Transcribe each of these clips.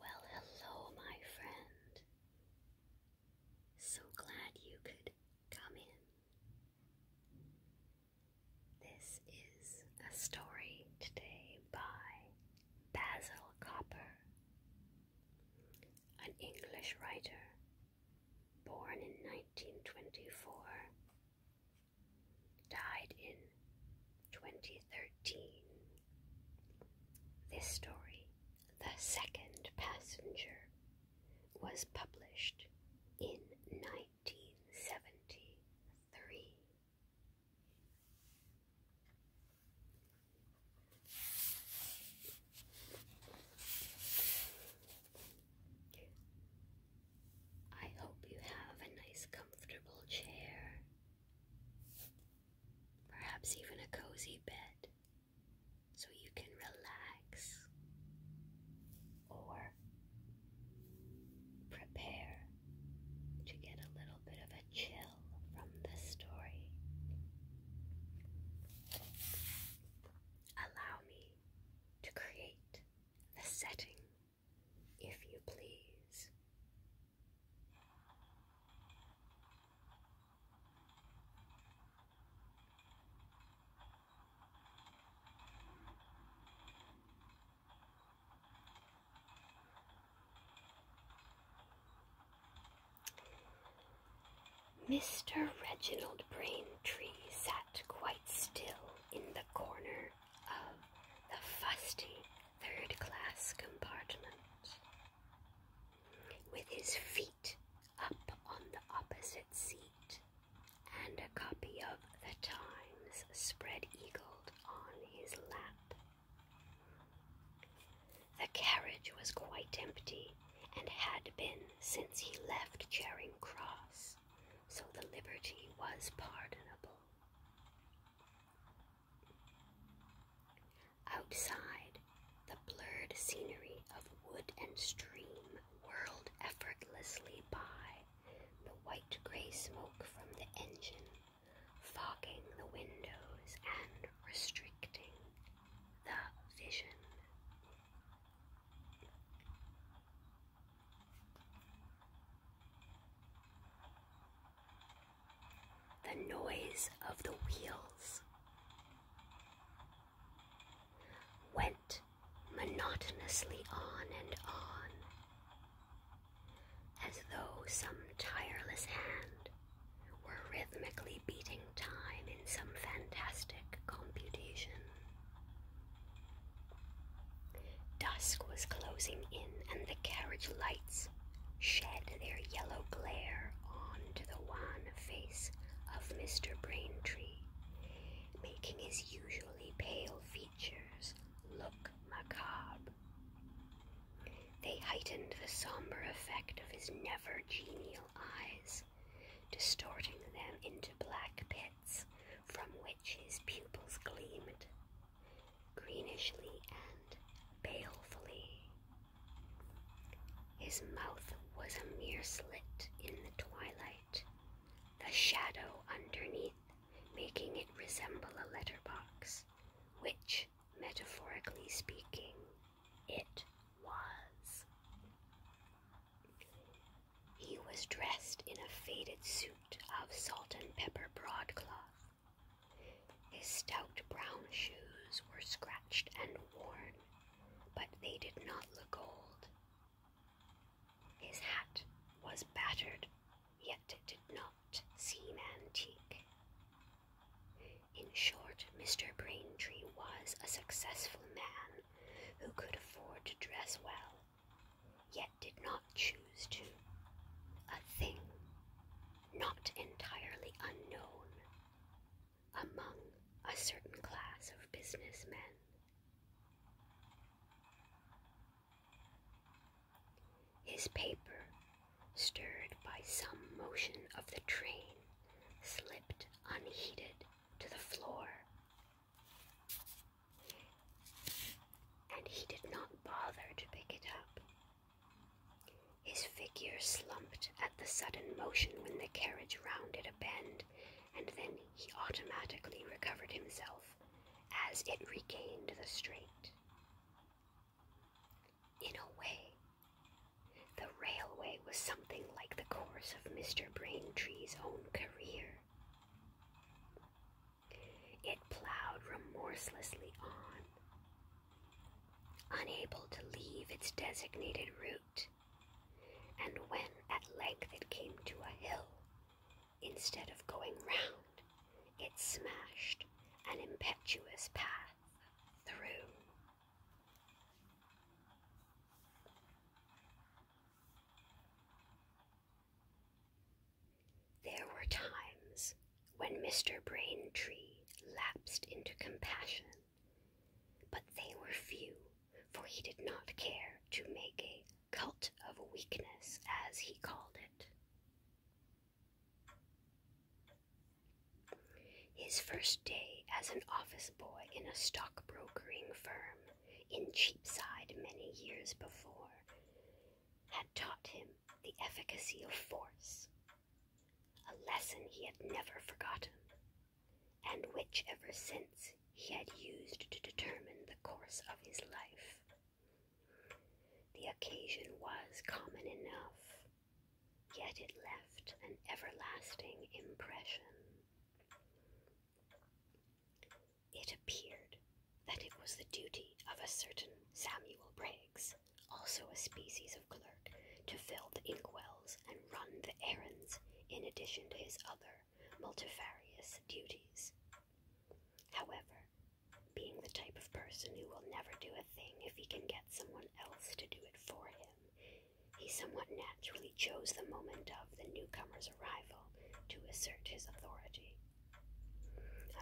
Well, hello, my friend. So glad you could come in. This is a story today by Basil Copper, an English writer born in 1924, died in 2013. This story, The Second Passenger, was published in 1973. I hope you have a nice, comfortable chair perhaps even a cozy bed so you can relax or prepare to get a little bit of a chill from the story. Allow me to create the setting, if you please. Mr. Reginald Braintree sat quite still in the corner of the fusty third class compartment with his feet up on the opposite seat and a copy of The Times spread eagled on his lap. The carriage was quite empty and had been since he left Charing Cross, so the liberty was pardonable. Outside, the blurred scenery of wood and stream whirled effortlessly by, the white gray smoke from the engine fogging the windows and restricting the vision the noise of the wheels went monotonously on and on, as though some tireless hand were rhythmically beating time in some fantastic computation. Dusk was closing in, and the carriage lights shed their yellow glare on to the wan face of Mr. Braintree, making his usually pale features look macabre. They heightened the somber effect of his never genial eyes, distorting them into black pits from which his pupils gleamed, greenishly and balefully. His mouth was a mere slit in the twilight, the shadow underneath making it resemble a letterbox, which, metaphorically speaking, it was. He was dressed in a faded suit of salt and pepper broadcloth, his stout brown shoes were scratched and worn, but they did not look old. His hat was battered, yet it did not seem antique. In short, Mr. Braintree was a successful man who could afford to dress well, yet did not choose to. A thing not entirely unknown among a certain class of businessmen. His paper, stirred by some motion of the train, slipped unheeded to the floor, and he did not bother to pick it up. His figure slumped at the sudden motion when the carriage rounded a bend, and then he automatically recovered himself as it regained the straight. In a way, the railway was something like the course of Mr. Braintree's own career. It plowed remorselessly on, unable to leave its designated route, and when at length it came to a hill, instead of going round, it smashed an impetuous path through. There were times when Mr. Braintree lapsed into compassion, but they were few, for he did not care to make a cult of weakness, as he called it. His first day as an office boy in a stockbrokering firm in Cheapside many years before had taught him the efficacy of force, a lesson he had never forgotten, and which ever since he had used to determine the course of his life. The occasion was common enough, yet it left an everlasting impression. It appeared that it was the duty of a certain Samuel Briggs, also a species of clerk, to fill the inkwells and run the errands in addition to his other multifarious duties. However, being the type of person who will never do a thing if he can get someone else to do it for him, he somewhat naturally chose the moment of the newcomer's arrival to assert his authority.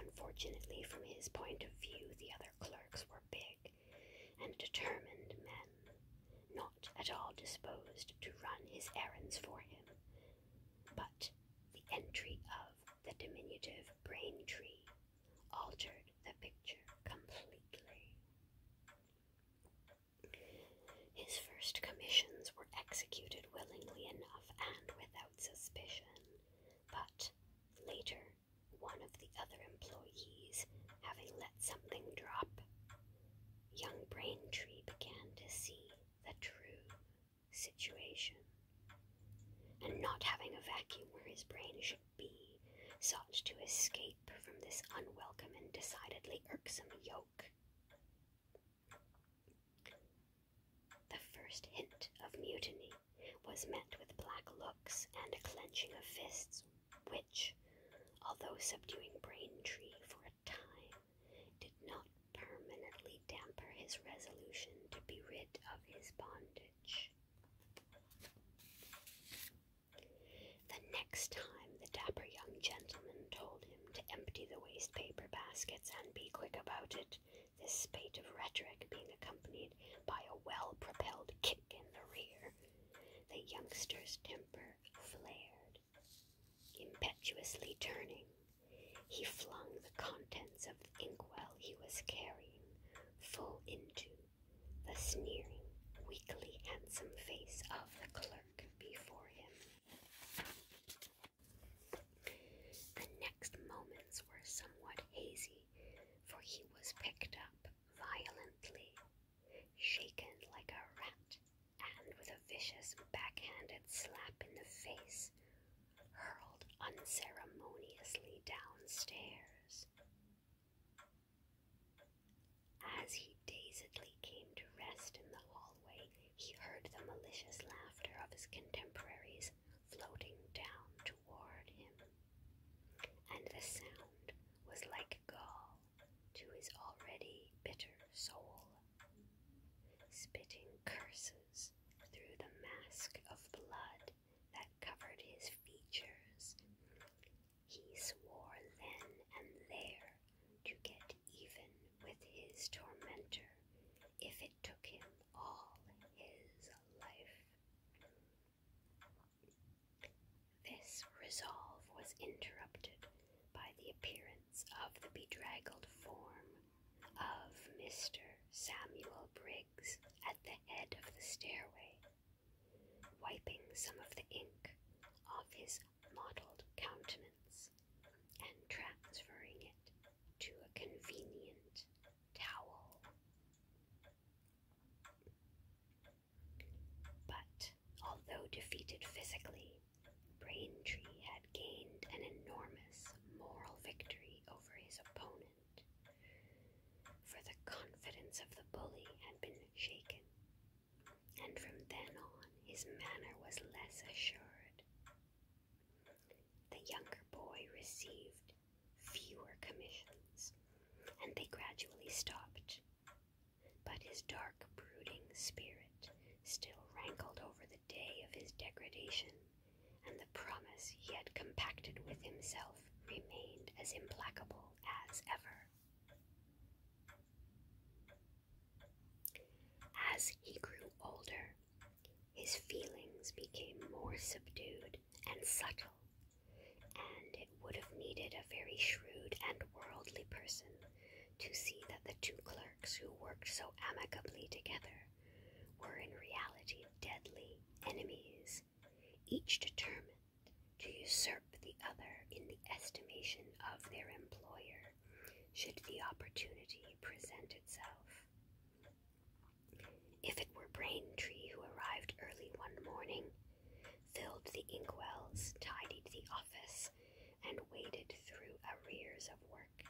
Unfortunately, from his point of view, the other clerks were big and determined men, not at all disposed to run his errands for him. But the entry of the diminutive Braintree altered the picture completely. His first commissions were executed willingly enough and without suspicion, but later, one of the other employees, having let something drop, young Braintree began to see the true situation. And not having a vacuum where his brain should be, sought to escape from this unwelcome and decidedly irksome yoke. The first hint of mutiny was met with black looks and a clenching of fists, which, although subduing Braintree for a time, did not permanently damper his resolution to be rid of his bondage. The next time the dapper young gentleman told him to empty the waste paper baskets and be quick about it, this spate of rhetoric being accompanied by a well propelled kick in the rear. The youngster's temper flared. Impetuously turning, he flung the contents of the inkwell he was carrying full into the sneering, weakly handsome face of the clerk before him. The next moments were somewhat hazy, for he was picked up violently, shaken like a rat, and with a vicious backhanded slap in the face, hurled unceremoniously downstairs. As he dazedly came to rest in the hallway, he heard the malicious laughter of his contemporaries floating down toward him, and the sound was like gall to his already bitter soul. Spitting curses through the mask of blood that covered his features, he swore then and there to get even with his tormentor if it took him all his life. This resolve was interrupted by the appearance of the bedraggled form of Mr. Samuel Briggs at the head of the stairway, wiping some of the ink off his mottled countenance and transferring it to a convenient towel. But although defeated physically, Braintree had gained an enormous moral victory over his opponent, for the confidence of the bully had been shaken, and from then on his manner was less assured the younger boy received fewer commissions, and they gradually stopped. But his dark, brooding spirit still rankled over the day of his degradation, and the promise yet compacted with himself remained as implacable as ever. As he grew older, his feelings became more subdued and subtle, and it would have needed a very shrewd and worldly person to see that the two clerks who worked so amicably together were in reality deadly enemies, each determined to usurp the other in the estimation of their employer should the opportunity present itself. If it were Braintree who arrived early one morning, filled the inkwells, tidied the office, and waded through arrears of work,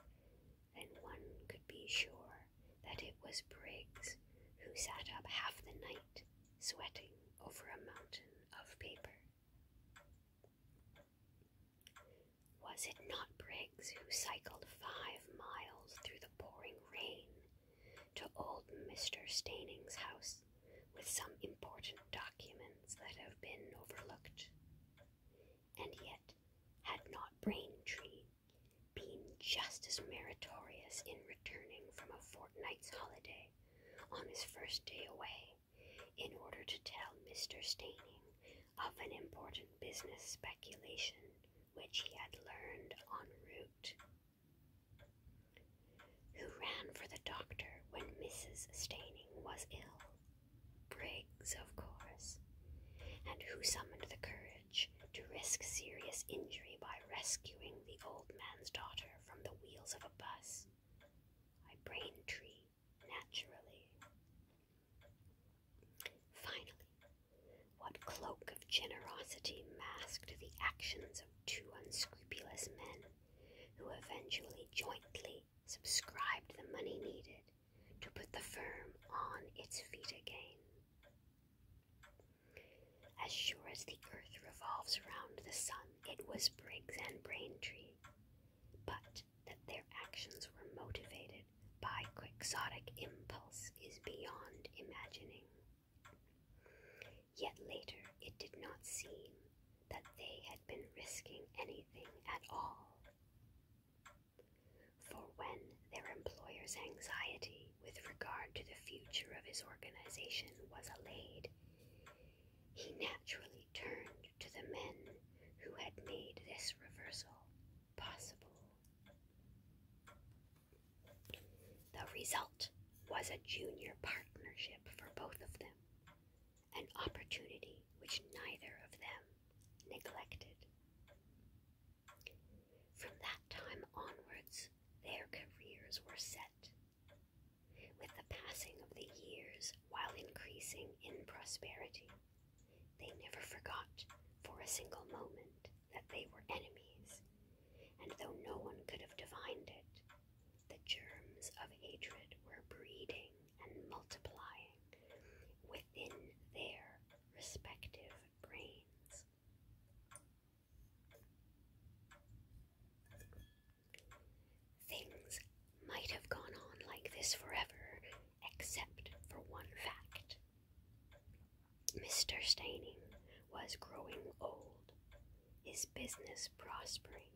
then one could be sure that it was Briggs who sat up half the night sweating over a mountain of paper. Was it not Briggs who cycled five miles through the pouring rain to old Mr. Staining's house with some important documents that have been overlooked? And yet, had not Braintree been just as meritorious in returning from a fortnight's holiday on his first day away in order to tell Mr. Staining of an important business speculation which he had learned en route, who ran for the doctor when Mrs. Staining was ill, Briggs, of course, and who summoned the courage to risk serious injury by rescuing the old man's daughter from the wheels of a bus. By Braintree, naturally. Finally, what cloak of generosity masked the actions of two unscrupulous men who eventually jointly subscribed the money needed to put the firm on its feet again? As sure as the earth revolves around the sun, it was Briggs and Braintree, but that their actions were motivated by quixotic impulse is beyond imagining. Yet later it did not seem that they had been risking anything at all. For when their employer's anxiety with regard to the future of his organization was allayed, he naturally turned to the men who had made this reversal possible. The result was a junior partnership for both of them, an opportunity which neither of them neglected. From that time onwards, their careers were set. With the passing of the years, while increasing in prosperity, they never forgot for a single moment that they were enemies, and though no one could have divined it, the germs of hatred were breeding and multiplying within their respective brains. Things might have gone on like this forever, except for one fact. Mr. Staining was growing old, his business prospering,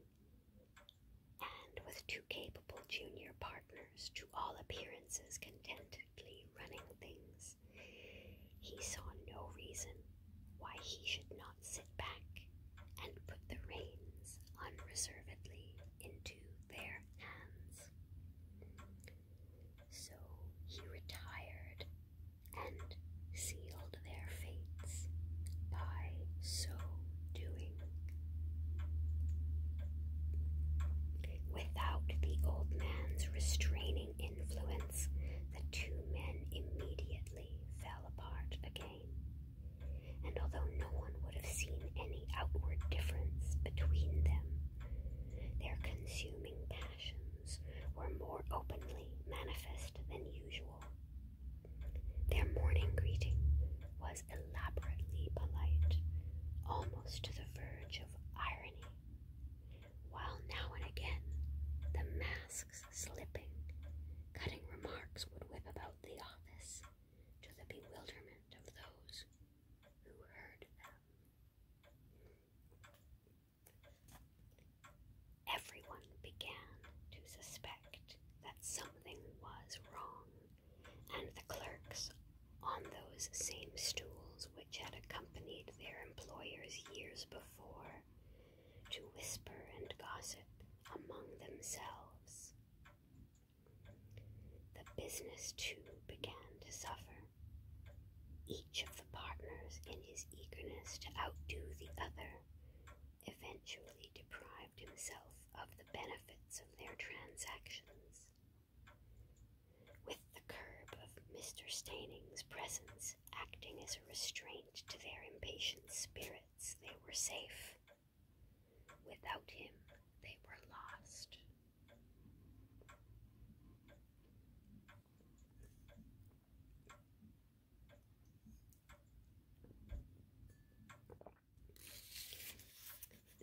and with two capable junior partners to all appearances contentedly running things, he saw no reason why he should not sit back and put the reins unreservedly into their hands. So he retired and sealed their fates by so doing. Without the old man's restraining influence, the two men immediately fell apart again. And although no one would have seen any outward difference between them, their consuming passions were more openly manifest than usual. Their morning greeting was elaborately polite, almost to the verge of irony, while now and again the masks slipping, cutting remarks would whip about the office to the bewilderment of those who heard them. Everyone began to suspect that something was wrong, and the clerks on those same stools which had accompanied their employers years before to whisper and gossip among themselves. The business too began to suffer. Each of the partners, in his eagerness to outdo the other, eventually deprived himself of the benefits of their transactions. With the curb of Mr. Staining's presence acting as a restraint to their impatient spirits, they were safe. Without him, they were lost.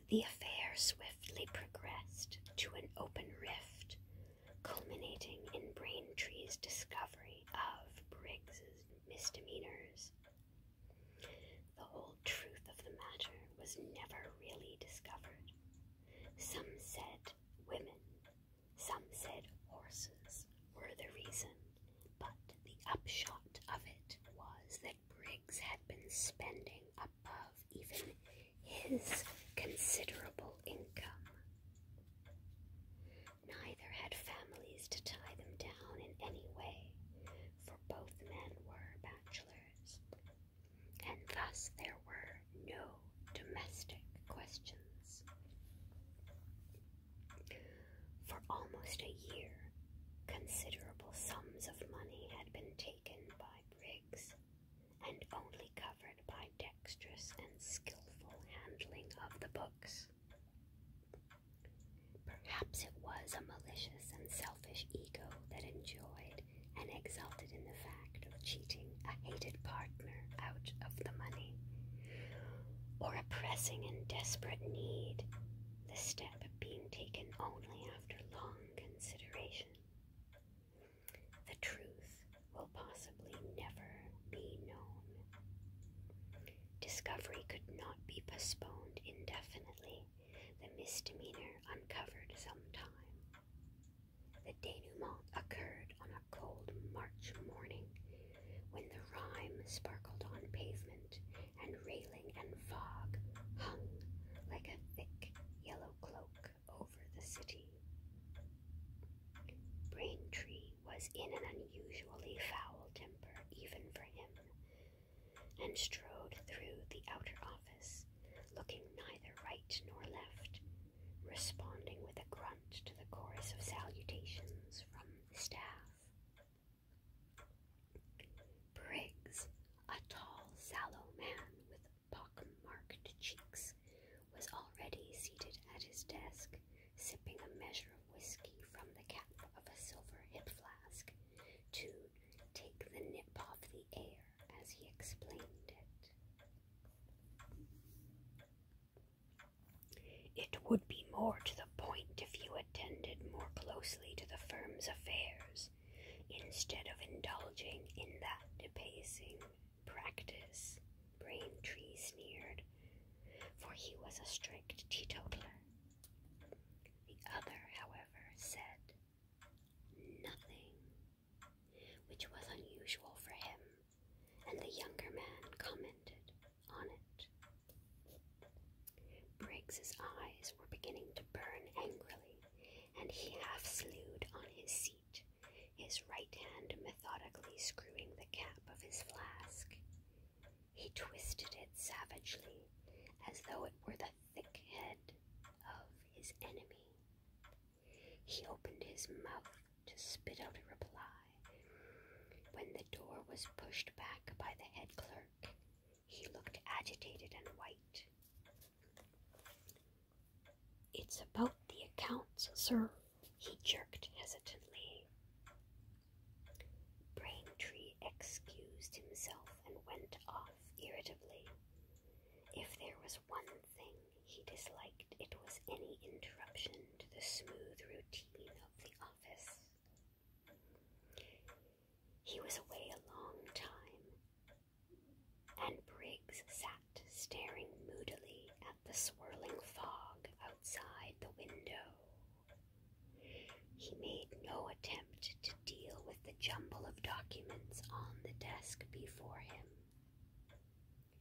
The affair swiftly progressed to an open rift, culminating in Braintree's discovery of Briggs's misdemeanors. The whole truth of the matter was never really discovered. Some said women, some said horses were the reason, but the upshot of it was that Briggs had been spending above even his considerable income. Neither had families to tie them down in any way, for both men were bachelors, and thus there were no domestic questions. For almost a year, considerable sums of money had been taken by Briggs and only covered by dexterous and skillful handling of the books. Perhaps it was a malicious and selfish ego that enjoyed and exulted in the fact of cheating a hated partner out of the money, or a pressing and desperate need, the step being taken only after long consideration. The truth will possibly never be known. Discovery could not be postponed indefinitely the misdemeanor uncovered some time. The denouement occurred on a cold March morning when the rime sparkled on pavement and railing and fog hung like a thick yellow cloak over the city. Braintree was in an unusually foul temper even for him, and strode through the outer office, looking neither right nor left, responding with a grunt to the chorus of salutations from staff. Briggs, a tall, sallow man with pockmarked cheeks, was already seated at his desk, sipping a measure of whiskey from the cap of a silver hip flask to take the nip off the air as he explained it. It would be more to the point if you attended more closely to the firm's affairs instead of indulging in that debasing practice, Braintree sneered, for he was a strict teetotaler. The other, however, said nothing, which was unusual for him, and the younger man commented on it. Briggs's eyes were beginning to burn angrily, and he half slewed on his seat, his right hand methodically screwing the cap of his flask. He twisted it savagely, as though it were the thick head of his enemy. He opened his mouth to spit out a reply. When the door was pushed back by the head clerk, he looked agitated and white. It's about the accounts, sir, he jerked hesitantly. Braintree excused himself and went off irritably. If there was one thing he disliked, it was any interruption to the smooth routine of the office. He was away a long time, and Briggs sat staring moodily at the swirling fog outside the window. He made no attempt to deal with the jumble of documents on the desk before him.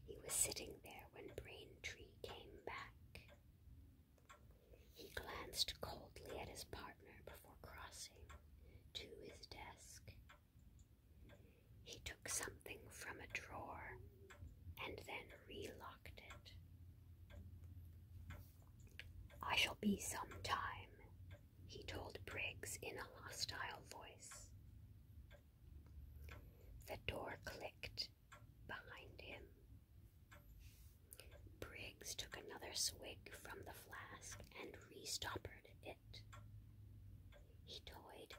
He was sitting there when Braintree came back. He glanced coldly at his partner before crossing to his desk. He took something from a drawer and then relocked it. I shall be some time, he told Briggs in a hostile voice. The door clicked behind him. Briggs took another swig from the flask and restoppered it. He toyed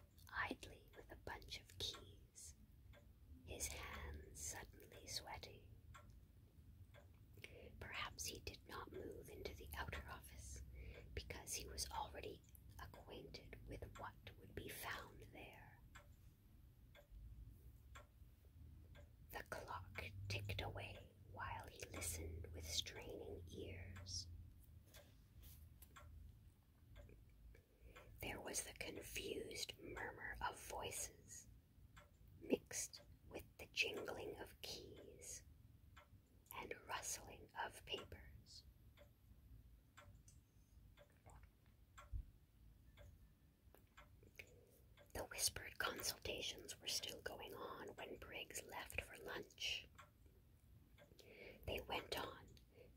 idly with a bunch of keys, his hands suddenly sweaty. Perhaps he did not move into the outer office because he was already acquainted with what would be found there. The clock ticked away while he listened with straining ears. There was the confused murmur of voices mixed with the jingling of keys and rustling of papers. The whispered consultations were still going on when Briggs left for lunch. They went on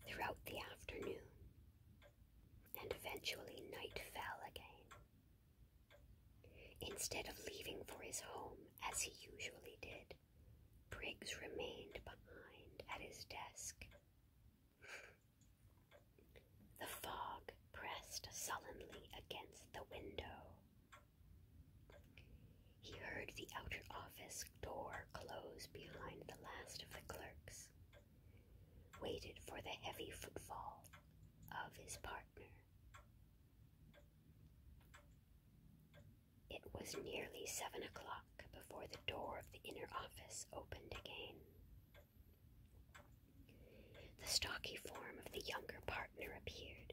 throughout the afternoon, and eventually night fell again. Instead of leaving for his home, as he usually did, Briggs remained behind at his desk. The fog pressed sullenly against the window. He heard the outer office door close behind the last of the clerks, waited for the heavy footfall of his partner, it was nearly seven o'clock before the door of the inner office opened again. The stocky form of the younger partner appeared.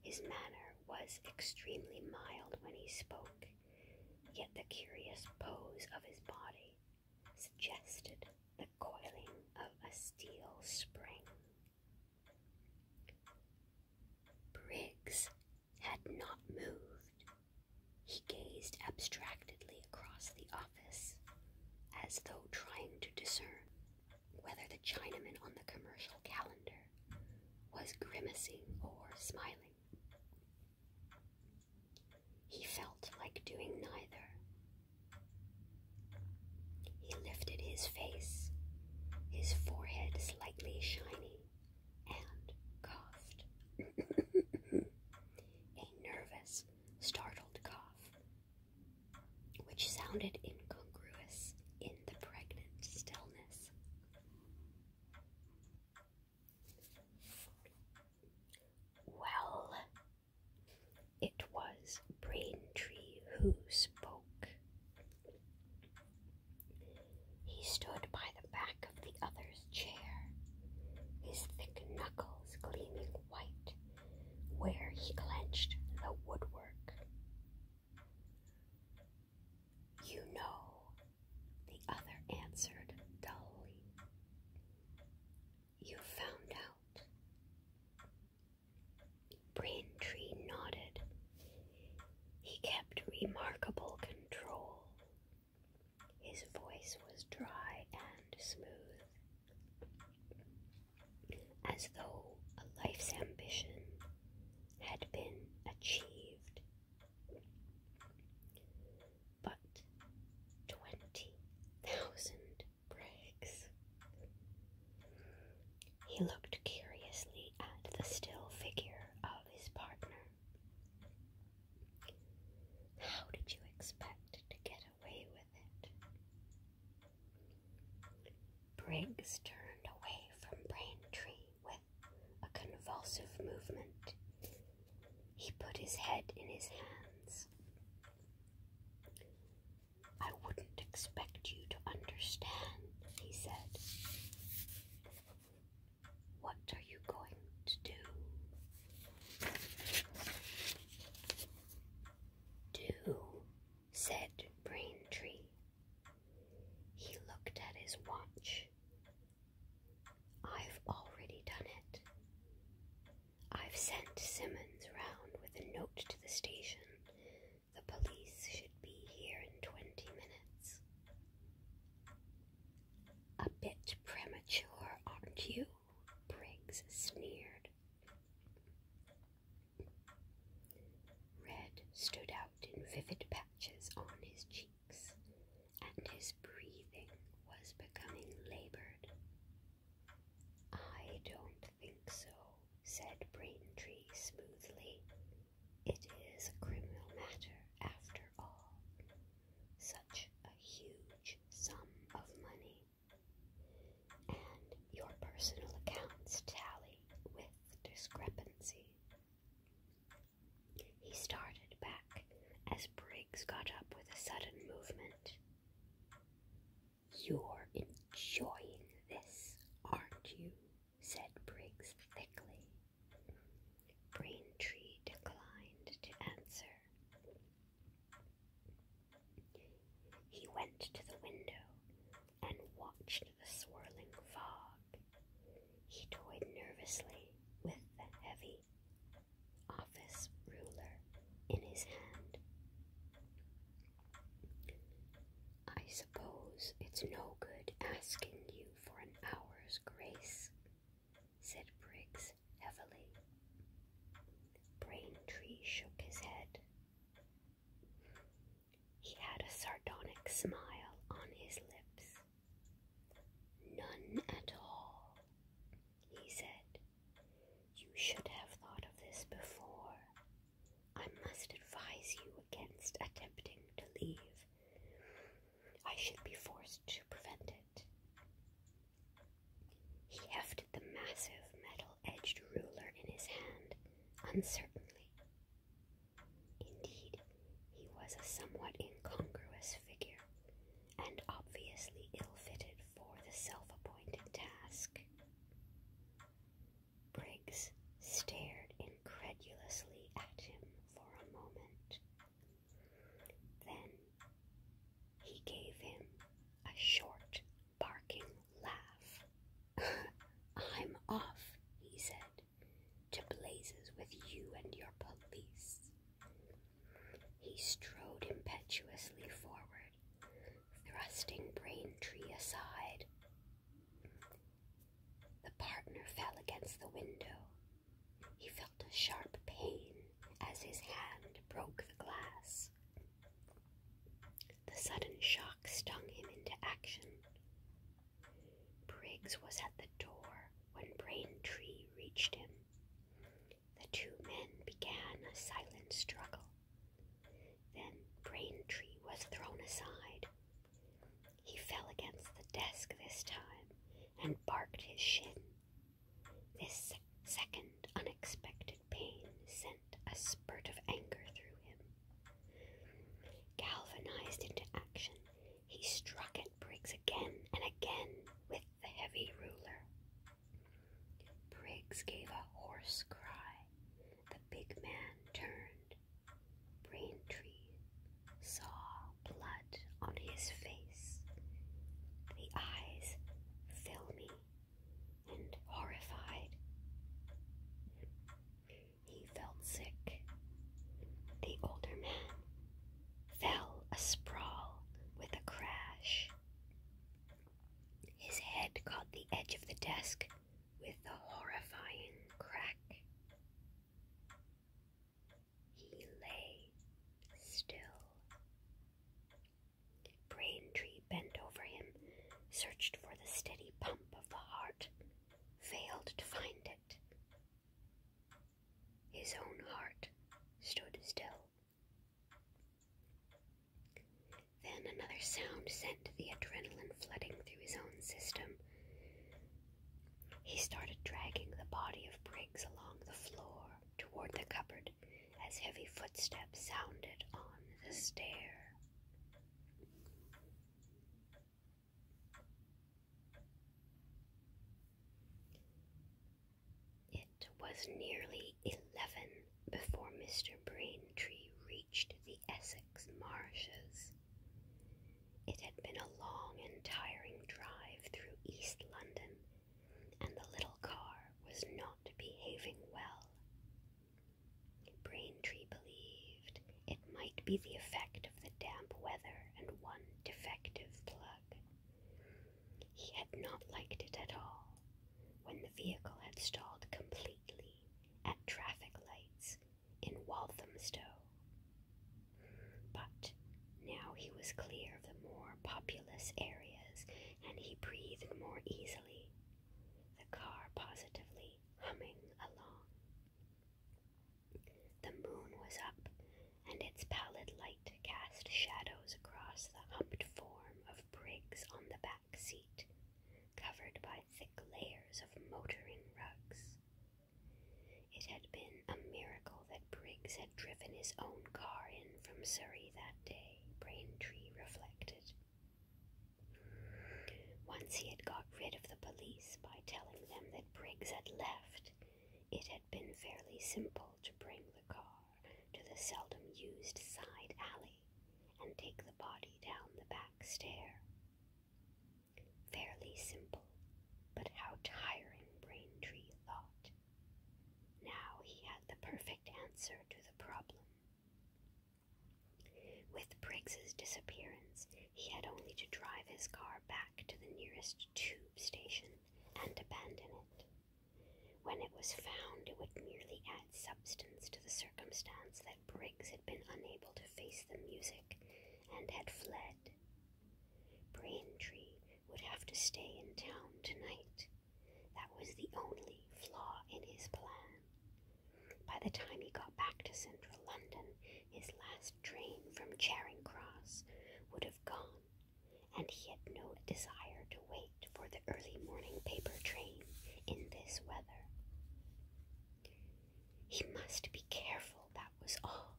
His manner was extremely mild when he spoke, yet the curious pose of his body suggested the coiling of a steel spring. Briggs had not moved. He gazed abstractedly across the office, as though trying to discern whether the Chinaman on the commercial calendar was grimacing or smiling. He felt like doing neither, he lifted his face, his forehead slightly shiny, and coughed. A nervous, startled cough, which sounded incongruous in the pregnant stillness. Well, it was Braintree who spoke. He stood by the back of the other's chair, his thick knuckles gleaming white where he clenched the woodwork. You know, the other answered dully. You found out. Braintree nodded. He kept remarkable control. His voice was dry and smooth, as though a life's ambition had been achieved. But twenty thousand bricks. He looked curiously at the still figure of his partner. How did you expect to get away with it? Briggs turned away from Braintree with a convulsive movement. He put his head in his hands. I wouldn't expect you to understand, he said. What are you going to do? Do, said Braintree. He looked at his watch. I've already done it. I've sent Simmons round with a note to the station. The police should be here in 20 minutes. A bit premature, aren't you? Briggs sneered. Red stood out in vivid patches on his cheeks, and his breathing was becoming labored. I don't think so, said Braintree smoothly. It is a criminal matter after all. Such a huge sum of money. And your personal accounts tally with discrepancy. He started back as Briggs got up with a sudden movement. You're enjoying this, aren't you? said Briggs thickly. Braintree declined to answer. He went to the window and watched the swirling fog. He toyed nervously with the heavy office ruler in his hand. I suppose it's no good asking you for an hour's grace, said Briggs heavily. Braintree shook his head. He had a sardonic smile on his lips. None at all, he said. You should have thought of this before. I must advise you against attempting to leave. I should be forced to prevent it. He hefted the massive metal edged ruler in his hand uncertainly. Indeed, he was a somewhat incongruous figure and obviously ill fitted for the self appointed task. Briggs stared incredulously at him for a moment. Then he gave him a short, barking laugh. I'm off, he said, to blazes with you and your police. He strode impetuously forward thrusting Braintree aside. The partner fell against the window. He felt a sharp pain as his hand broke the glass. The sudden shock stung him into action. Briggs was at the door when Braintree reached him the two men began a silent struggle. Then Braintree was thrown aside. He fell against the desk this time and barked his shin. This second unexpected pain sent a spurt of anger through him. Galvanized into action, he struck at Briggs again and again with the heavy ruler. Briggs gave a hoarse cry. The big man turned. Braintree saw blood on his face, the eyes filmy and horrified. He felt sick. The older man fell a sprawl with a crash. His head caught the edge of the desk with a horrifying crack. He lay still. Braintree bent over him, searched for the steady pump of the heart, failed to find it. His own heart stood still. Then another sound sent the adrenaline flooding through his own system. He started dragging the body of Briggs along the floor toward the cupboard as heavy footsteps sounded on the stair. It was nearly eleven before Mr. Braintree reached the Essex marshes. It had been a long and tiring drive through East London, and the little car was not behaving well. Braintree believed it might be the effect of the damp weather and one defective plug. He had not liked it at all, when the vehicle had stalled completely at traffic lights in Walthamstow. But now he was clear of the more populous areas and he breathed more easily, the car positively humming along. The moon was up, and its pallid light cast shadows across the humped form of Briggs on the back covered by thick layers of motoring rugs. It had been a miracle that Briggs had driven his own car in from Surrey that day, Braintree reflected. Once he had got rid of the police by telling them that Briggs had left, it had been fairly simple to bring the car to the seldom used side alley and take the body down the back stair. Fairly simple, but how tiring Braintree thought. Now he had the perfect answer to the problem. With Briggs's disappearance, he had only to drive his car back to the nearest tube station and abandon it. When it was found, it would merely add substance to the circumstance that Briggs had been unable to face the music and had fled. Braintree would have to stay in town tonight. That was the only flaw in his plan. By the time he got back to central London, his last train from Charing Cross would have gone, and he had no desire to wait for the early morning paper train in this weather. He must be careful, that was all.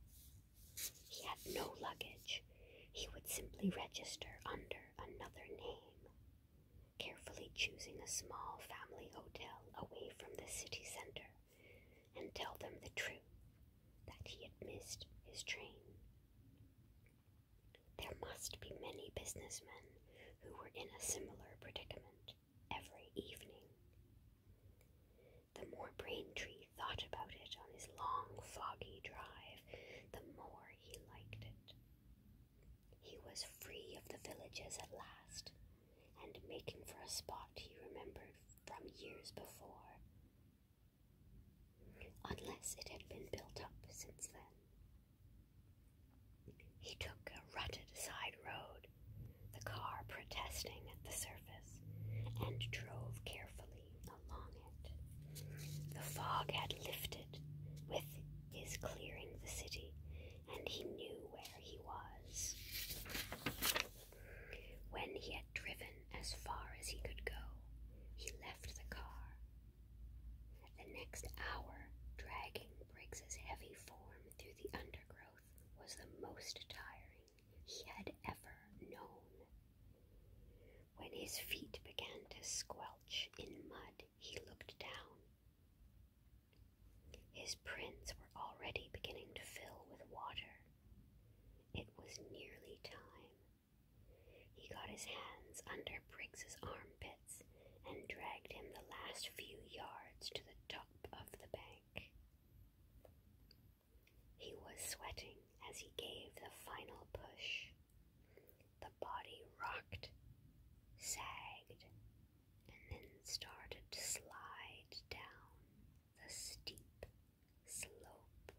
He had no luggage. He would simply register under another name, carefully choosing a small family hotel away from the city center, and tell them the truth that he had missed his train. There must be many businessmen who were in a similar predicament every evening. The more Braintree thought about it on his long, foggy drive, the more he liked it. He was free of the villages at last, and making for a spot he remembered from years before unless it had been built up since then. He took a rutted side road, the car protesting at the surface, and drove carefully along it. The fog had lifted with his clearing the city, and he knew where he was. When he had driven as far as he could go, he left the car the next hour, dragging Briggs's heavy form through the undergrowth was the most tiring he had ever known. When his feet began to squelch in mud, he looked down. His prints were already beginning to fill with water. It was nearly time he got his hands under Briggs's armpits and dragged him the last few yards to the top of the bank. He was sweating as he gave the final push. The body rocked, sagged, and then started to slide down the steep slope.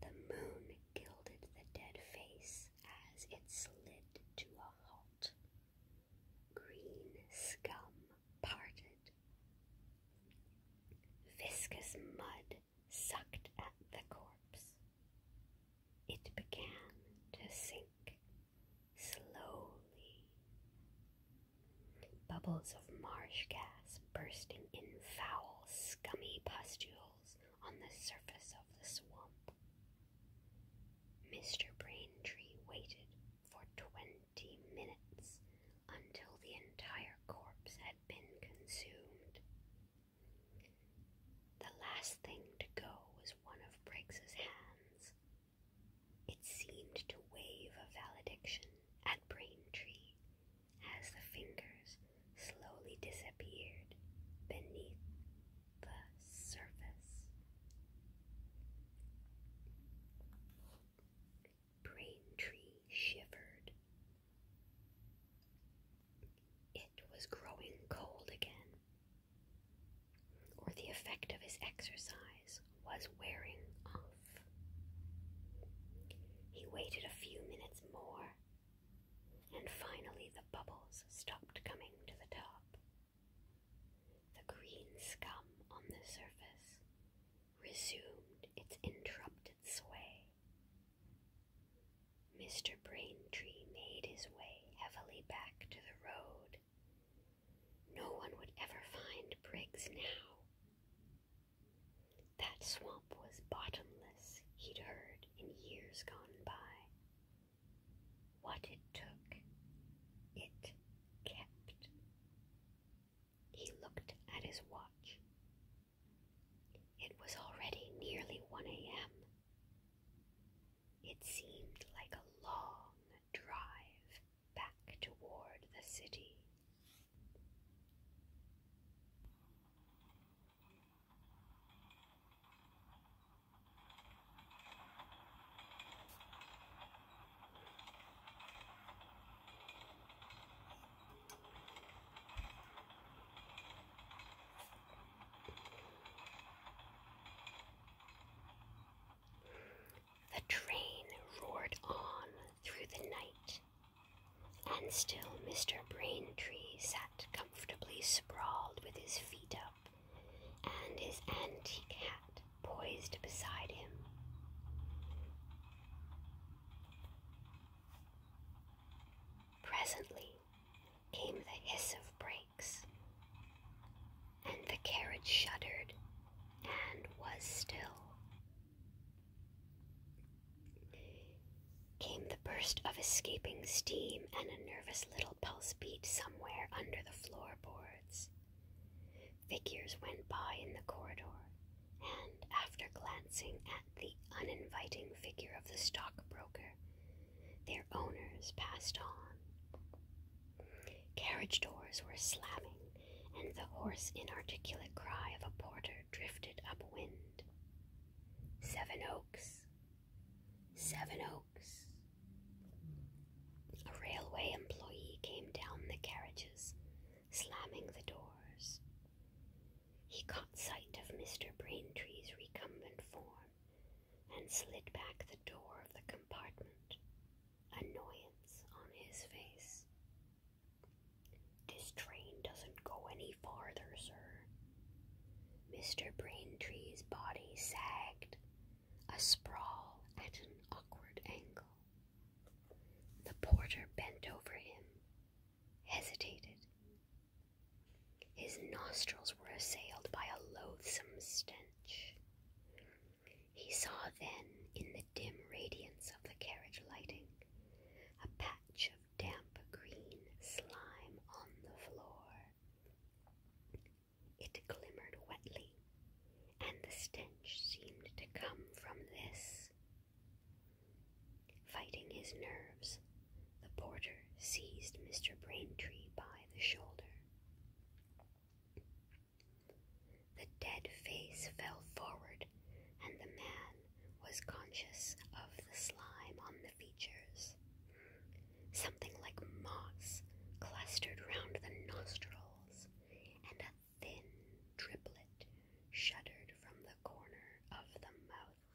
The moon gilded the dead face as it slid to a halt. Green scum parted. Viscous mud sucked at the corpse. It began to sink slowly. Bubbles of marsh gas bursting in foul, scummy pustules on the surface of the swamp. Mr. Braintree waited for twenty minutes until the entire corpse had been consumed. The last thing to go was one of Briggs's hands. It seemed to wave a valediction at Braintree as the fingers slowly disappeared beneath the surface. Braintree shivered. It was growing cold again, or the effect of his exercise was wearing off. He waited a few minutes more and finally the bubbles stopped coming to the top. The green scum on the surface resumed its interrupted sway. Mr. Braintree made his way heavily back to the road. No one would ever find Briggs now. That swamp was bottomless, he'd heard in years gone by. What it took, it kept. He looked at his watch. It was already nearly 1 a.m. It seemed like a long drive back toward the city. The train roared on through the night and still Mr. Braintree sat comfortably sprawled with his feet up, and his antique hat poised beside him. Presently came the hiss of brakes, and the carriage shuddered and was still. Came the burst of escaping steam and a nervous little pulse beat somewhere under the floorboards. Figures went by in the corridor, and after glancing at the uninviting figure of the stockbroker, their owners passed on. Carriage doors were slamming, and the hoarse, inarticulate cry of a porter drifted upwind. Seven Oaks, Seven Oaks. A railway employee came down the carriages, slamming the doors. He caught sight of Mr. Braintree's recumbent form and slid back the door of the compartment, annoyance on his face. This train doesn't go any farther, sir. Mr. Braintree's body sagged, a sprawl at an awkward angle. The porter bent over him, hesitated. His nostrils were assailed by a loathsome stench. He saw then, in the dim radiance of the carriage lighting, a patch of damp green slime on the floor. It glimmered wetly, and the stench seemed to come from this. Fighting his nerves, the porter seized Mr. Braintree by the shoulder. The dead face fell forward, and the man was conscious of the slime on the features. Something like moss clustered round the nostrils, and a thin driplet shuddered from the corner of the mouth.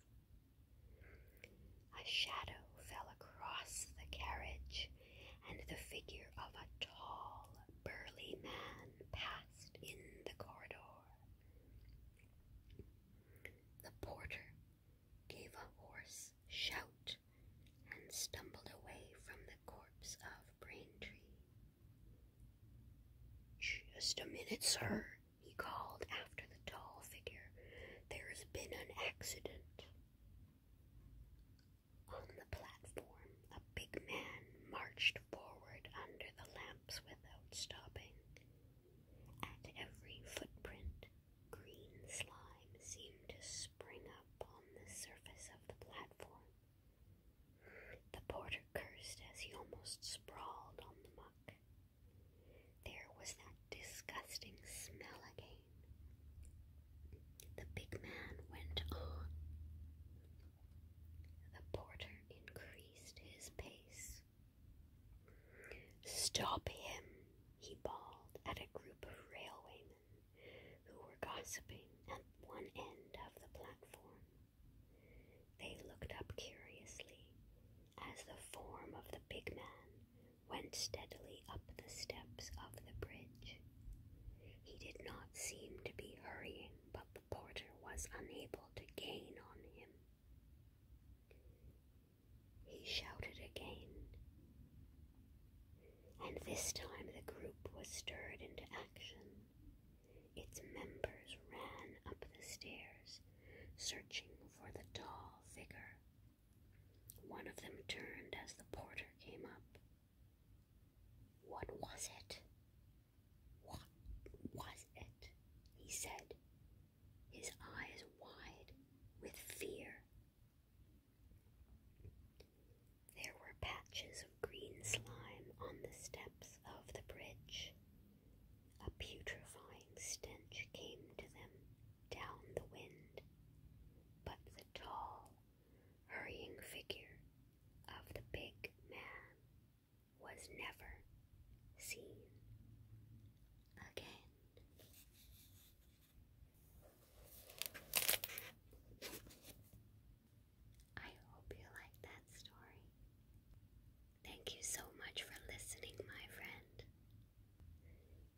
A shadow fell across the carriage, and the figure of a tall, burly man passed in the corridor. The porter gave a hoarse shout and stumbled away from the corpse of Braintree. Just a minute, sir, he called after the tall figure. There has been an accident. On the platform, a big man marched forward under the lamps without stopping. At every footprint, green slime seemed to spring up on the surface of the platform. The porter cursed as he almost sprawled on the muck. There was that disgusting smell again. The big man went on. The porter increased his pace. Stop him, he bawled at a group of railwaymen who were gossiping at one end of the platform. They looked up curiously as the form of the big man went steadily up the steps of the bridge. He did not seem to be hurrying, but the porter was unable to gain on him he shouted again. And this time the group was stirred into action. Its members ran up the stairs, searching for the tall figure. One of them turned as the porter came up. What was it? What was it? he said, his eyes wide with fear. There were patches of green slime on the steps of the bridge. A putrefying stench came to them down the wind, but the tall, hurrying figure of the big man was never seen again. I hope you like that story. Thank you so much for listening, my friend.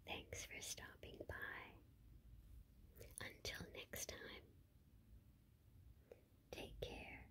Thanks for stopping by. Until next time, take care